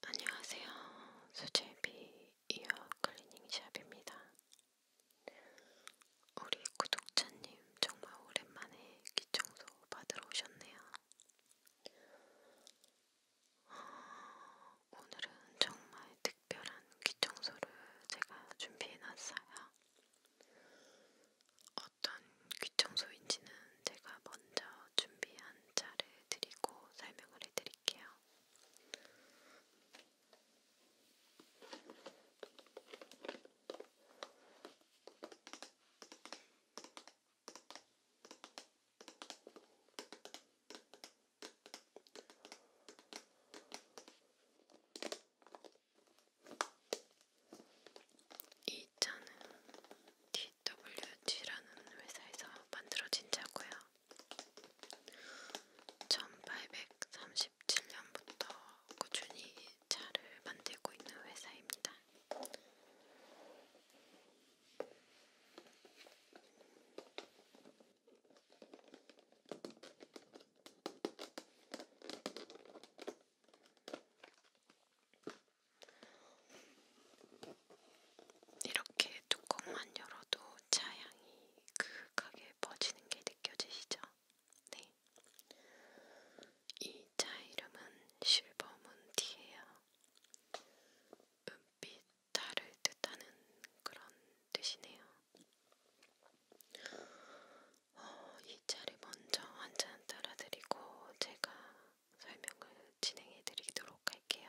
안녕하세요. 수제비 이어 클리닝 샵입니다. 우리 구독자님 정말 오랜만에 귀청소 받으러 오셨네요. 오늘은 정말 특별한 귀청소를 제가 준비해놨어요. 어떤 귀청소인지는 제가 먼저 준비한 차를 드리고 설명을 해드릴게요. 이 차는 DWG라는 회사에서 만들어진 차고요. 1837년부터 꾸준히 차를 만들고 있는 회사입니다. 이렇게 뚜껑만 열어도 차향이 그윽하게 퍼지는 게 느껴지시죠? 네. 이 차 이름은 실버문티예요. 은빛 달을 뜻하는 그런 뜻이네요. 어, 이 차를 먼저 한잔 따라드리고 제가 설명을 진행해드리도록 할게요.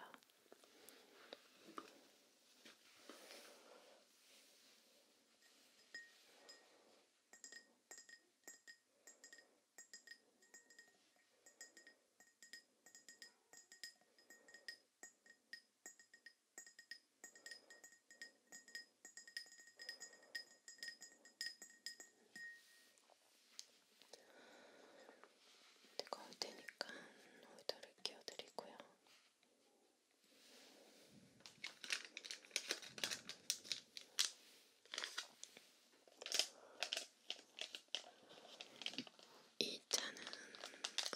뜨거울 테니까 오이더를 끼워드리고요. 이 차는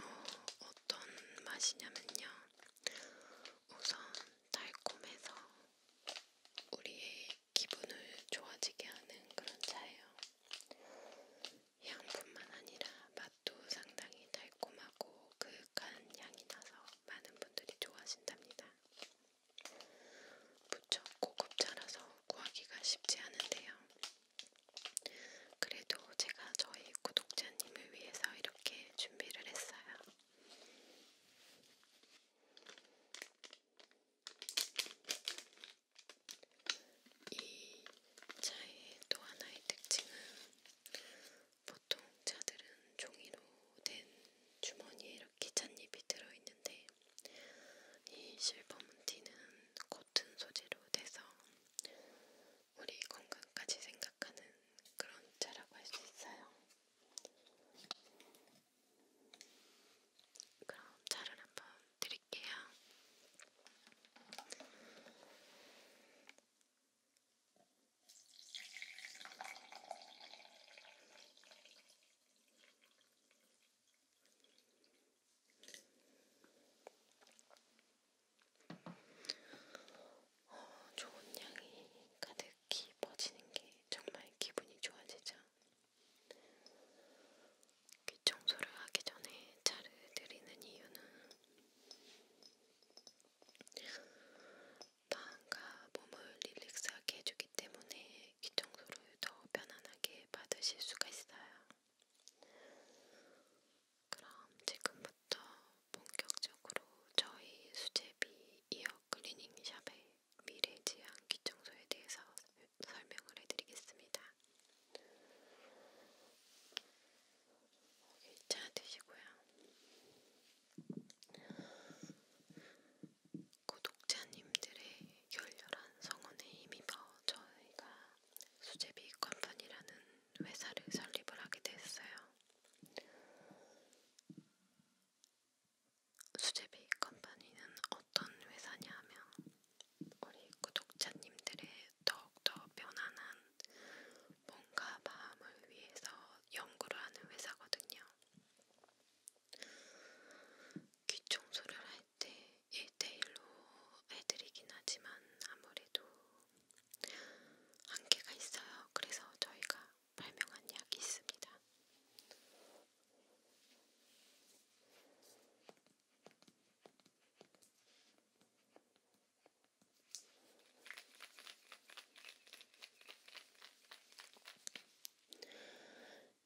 어, 어떤 맛이냐면요. 우선 달콤해서 우리의 기분을 좋아지게 하는 그런 차예요. 향뿐만 아니라 맛도 상당히 달콤하고 그윽한 향이 나서 많은 분들이 좋아하신답니다. 무척 고급차라서 구하기가 쉽지 않은데요. 그래도 제가 저희 구독자님을 위해서 이렇게 준비를 했어요. 이 차의 또 하나의 특징은 보통 차들은 종이로 된 주머니에 이렇게 찻잎이 들어있는데 이 실버문티는 코튼 소재로 돼서 우리 건강까지 생각하는 그런 차라고 할 수 있어요. 그럼 차를 한번 드릴게요. 어, 좋은 향이 가득히 퍼지는 게 정말 기분이 좋아지죠. 귀 청소를 하기 전에 차를 들이는 이유는 마음과 몸을 릴렉스하게 해주기 때문에 귀 청소를 더 편안하게 받으실 수가 있어요. 그럼 지금부터 본격적으로 저희 수제비 이어 클리닝 샵의 미래지향 기청소에 대해서 설명을 해드리겠습니다. 여기 어, 차 드시고요. 구독자님들의 열렬한 성원에 힘입어 저희가 수제비 컴퍼니라는 회사를 설립을 하게 됐어요. 수제비 컴퍼니는 어떤 회사냐면 우리 구독자님들의 더욱더 편안한 몸과 마음을 위해서 연구를 하는 회사거든요. 귀 청소를 할때 1대1로 해드리긴 하지만 아무래도 한계가 있어요. 그래서 저희가 발명한 약이 있습니다.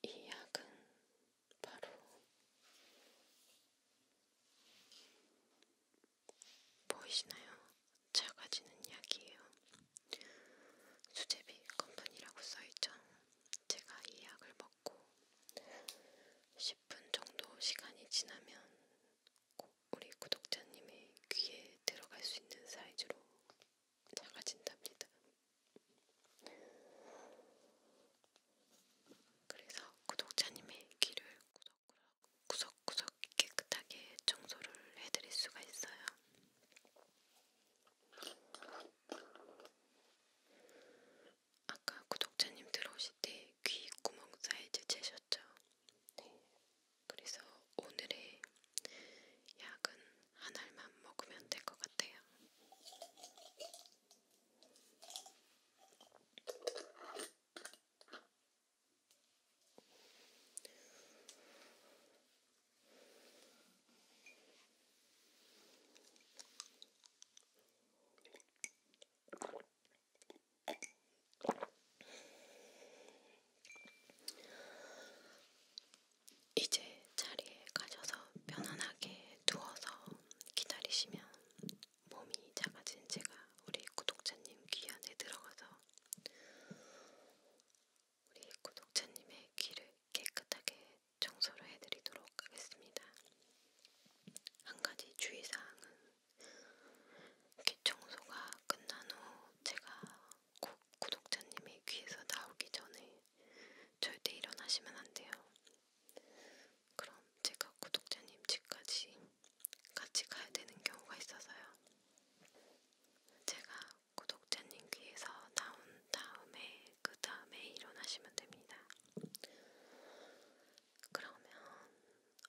이 약은 바로 보이시나요? 작아지는 약이에요. 수제비 컴퍼니라고 써있죠. 제가 이 약을 먹고 10분 정도 시간이 지나면 우리 구독자님의 귀에 들어갈 수 있는 사이즈로 작아진답니다. 그래서 구독자님의 귀를 구석구석 구석구석 깨끗하게 청소를 해드릴 수가 있어요. 아까 구독자님 들어오실 때 귀 구멍 사이즈 재셨죠? 네. 그래서 오늘의 약은 한 알만 먹으면 될 것 같아요. 이제 자리에 가셔서 편안하게 누워서 기다리시면 몸이 작아진 제가 우리 구독자님 귀 안에 들어가서 우리 구독자님의 귀를 깨끗하게 청소를 해드리도록 하겠습니다. 한 가지 주의사항은 귀 청소가 끝난 후 제가 꼭 구독자님의 귀에서 나오기 전에 절대 일어나시면 안 돼요. 그럼 제가 구독자님 집까지 같이 가야 되는 경우가 있어서요. 제가 구독자님 귀에서 나온 다음에 그 다음에 일어나시면 됩니다. 그러면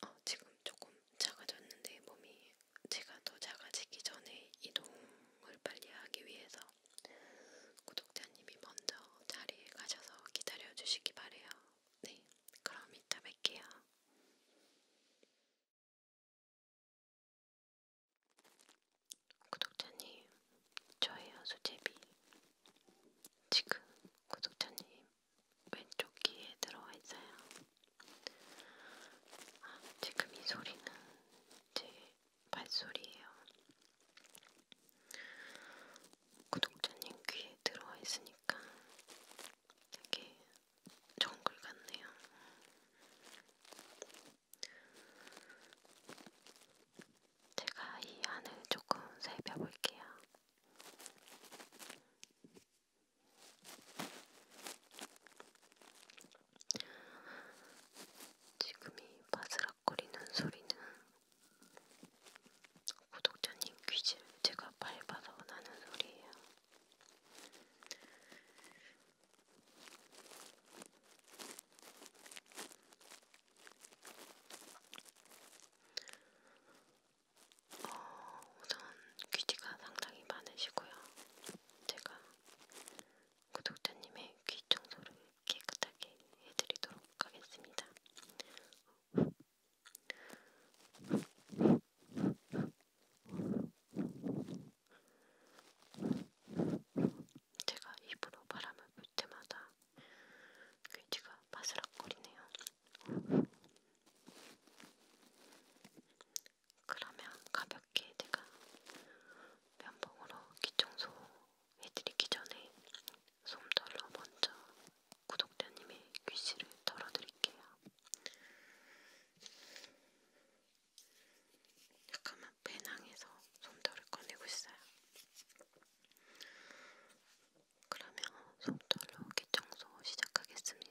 어, 지금 조금 작아졌는데 몸이 제가 더 작아지기 전에 이동을 빨리 하기 위해서 구독자님이 먼저 자리에 가셔서 기다려 주시기 바래요. 네, 그럼 이따 뵐게요. 구독자님, 저예요 수제비. 지금 구독자님 왼쪽 귀에 들어와 있어요. 아, 지금 이 소리는 제 발소리예요. 구독자님 귀에 들어와 있으니까 되게 정글 같네요. 제가 이 안을 조금 살펴볼게요. 지금 이 바스락거리는 소리는 구독자님 퀴즈 제가 밟아서 나는 소리예요. 어, 우선 귀지가 상당히 많으시고요. 제가 구독자님의 귀 청소를 깨끗하게 해드리도록 하겠습니다. 제가 입으로 바람을 불 때마다 귀지가 바스락거리네요. 그러면 가볍게 제가 면봉으로 귀청소 해드리기 전에 솜털로 먼저 구독자님의 귀씨를 털어드릴게요. 잠깐만 배낭에서 솜털을 꺼내고 있어요. 그러면 솜털로 귀청소 시작하겠습니다.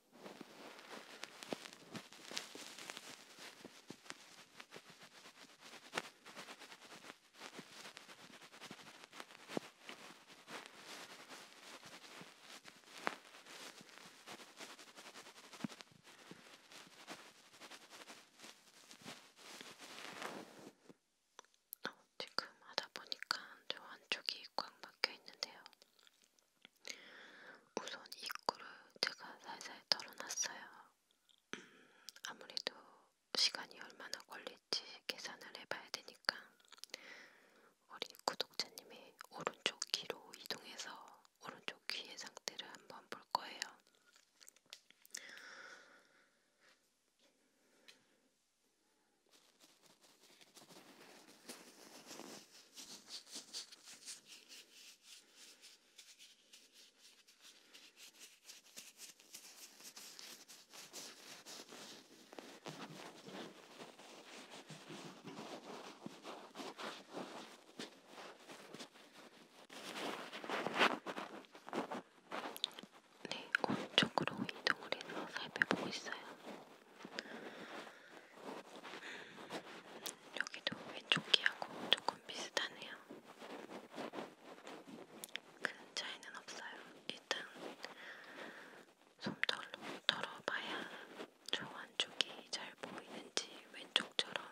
어, 지금 하다 보니까 저 안쪽이 꽉 막혀 있는데요. 우선 입구를 제가 살살 털어놨어요. 음, 아무래도 시간이 얼마나 걸릴지 계산을 해봐야 되니까 우리 구독자님의 오른쪽 귀로 이동해서 오른쪽 귀의 상태를 한번 볼 거예요. 네, 오른쪽으로 이동을 해서 살펴보고 있어요. 여기도 왼쪽 귀하고 조금 비슷하네요. 큰 차이는 없어요. 일단 솜털로 털어봐야 저 안쪽이 잘 보이는지 왼쪽처럼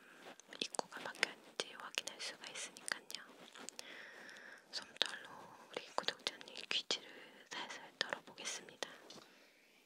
입구가 바뀌었는지 확인할 수가 있으니까요. 솜털로 우리 구독자님 귀지를 살살 털어보겠습니다.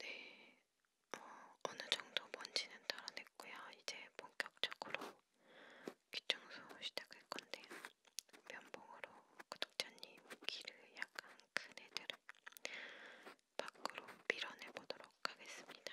네, 어, 어느 정도 먼지는 덜어냈고요. 이제 본격적으로 귀청소 시작할 건데요. 면봉으로 구독자님 귀를 약간 큰 애들을 밖으로 밀어내 보도록 하겠습니다.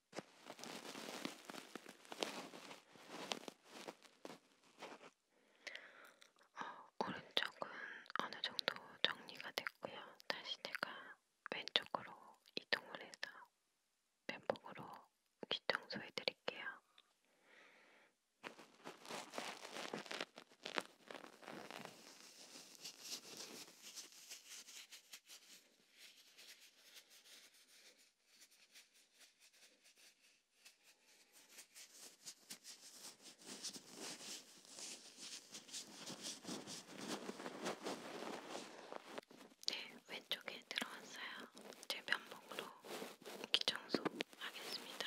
어, 오른쪽은 어느 정도 정리가 됐고요. 다시 제가 왼쪽으로 이동을 해서 면봉으로 귀 청소해 드릴게요. 네, 왼쪽에 들어왔어요. 제 면봉으로 기청소 하겠습니다.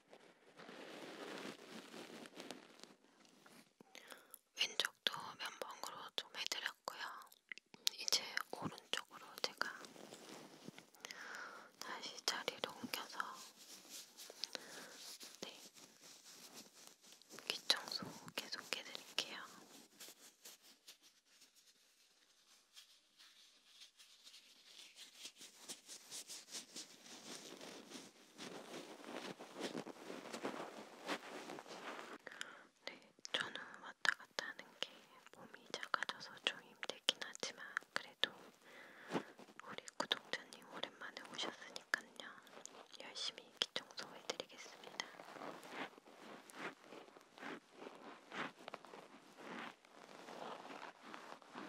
왼쪽도 면봉으로 좀 해드렸고요. 이제 오른쪽으로 제가 다시 자리를 옮겨서 네. 귀 청소 계속 해드릴게요. 네, 저는 왔다 갔다 하는 게 몸이 작아져서 좀 힘들긴 하지만 그래도 우리 구독자님 오랜만에 오셨으니까요. 열심히 기청소해 드리겠습니다.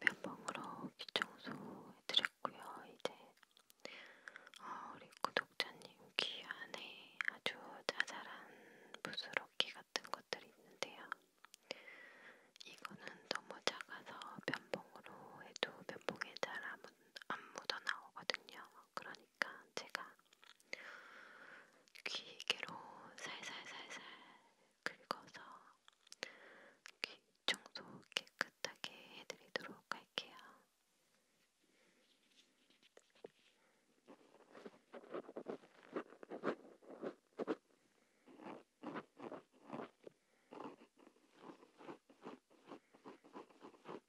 면봉으로 귀 청소해드렸고요. 이제 어, 우리 구독자님 귀 안에 아주 자잘한 부스러기 같은 것들이 있는데요. 이거는 너무 작아서 면봉으로 해도 면봉에 잘안 묻는 안 묻어 나오거든요. 그러니까 제가 귀개로 살살살살 긁어서 귀 청소 깨끗하게 해드리도록 할게요.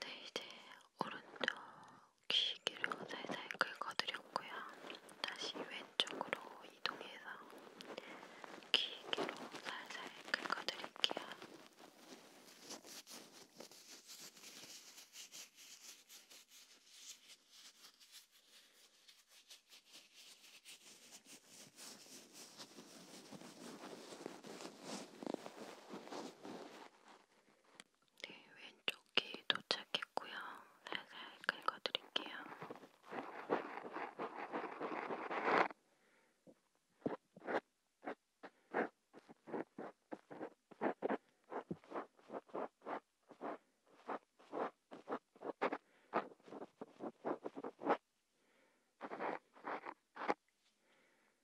네, 이제 오른쪽 귀기로 살살 긁어드렸고요. 다시 왼쪽으로 이동해서 귀기로 살살 긁어드릴게요. 네, 왼쪽 귀 도착했고요. 살살 긁어드릴게요.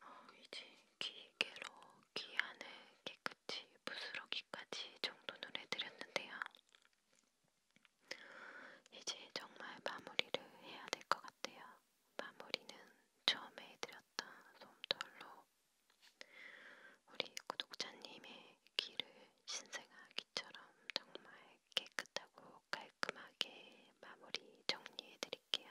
어, 이제 기계로 귀 안을 깨끗이 부스러기까지 정돈을 해드렸는데요. 이제 정말 마무리를 해야 될 것 같아요. 마무리는 처음에 해드렸던 솜털로 우리 구독자님의 귀를 신생아기처럼 정말 깨끗하고 깔끔하게 마무리 정리해드릴게요.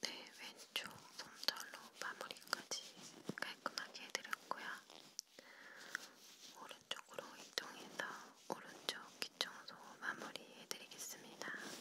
네, 왼쪽 솜털로 마무리까지 깔끔하게 해드렸고요. 오른쪽으로 이동해서 오른쪽 귀청소 마무리 해드리겠습니다.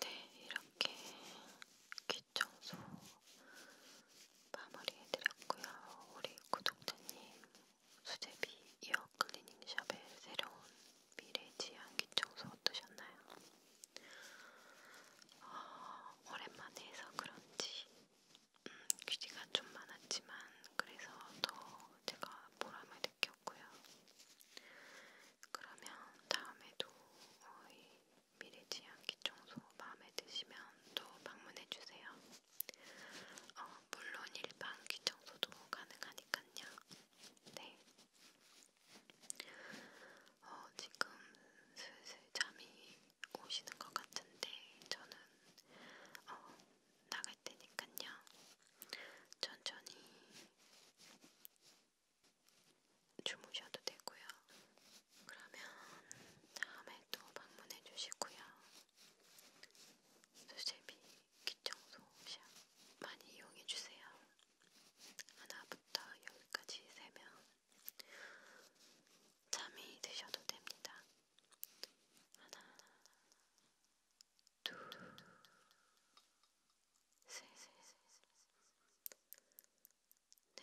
네, 이렇게 귀 귀청소 마무리해드렸고요. 우리 구독자님 수제비 이어 클리닝샵의 새로운 미래지향 귀청소 어떠셨나요? 어, 오랜만에 해서 그런지 음, 귀지가 좀 많았지만 그래서 더 제가 보람을 느꼈고요. 그러면 다음에도 이 미래지향 기청소 마음에 드시면 또 방문해주세요. 어, 물론 일반 기청소도 가능하니깐요. 네. 어, 지금 슬슬 잠이 오시는 것 같은데 저는 어, 나갈 테니깐요. 천천히 주무셔도 되고요. 그러면 다음에 또 방문해 주시고요. 수제비 귀청소 샵 많이 이용해 주세요. 하나부터 여기까지 세면 잠이 드셔도 됩니다. 하나, 둘, 셋, 넷.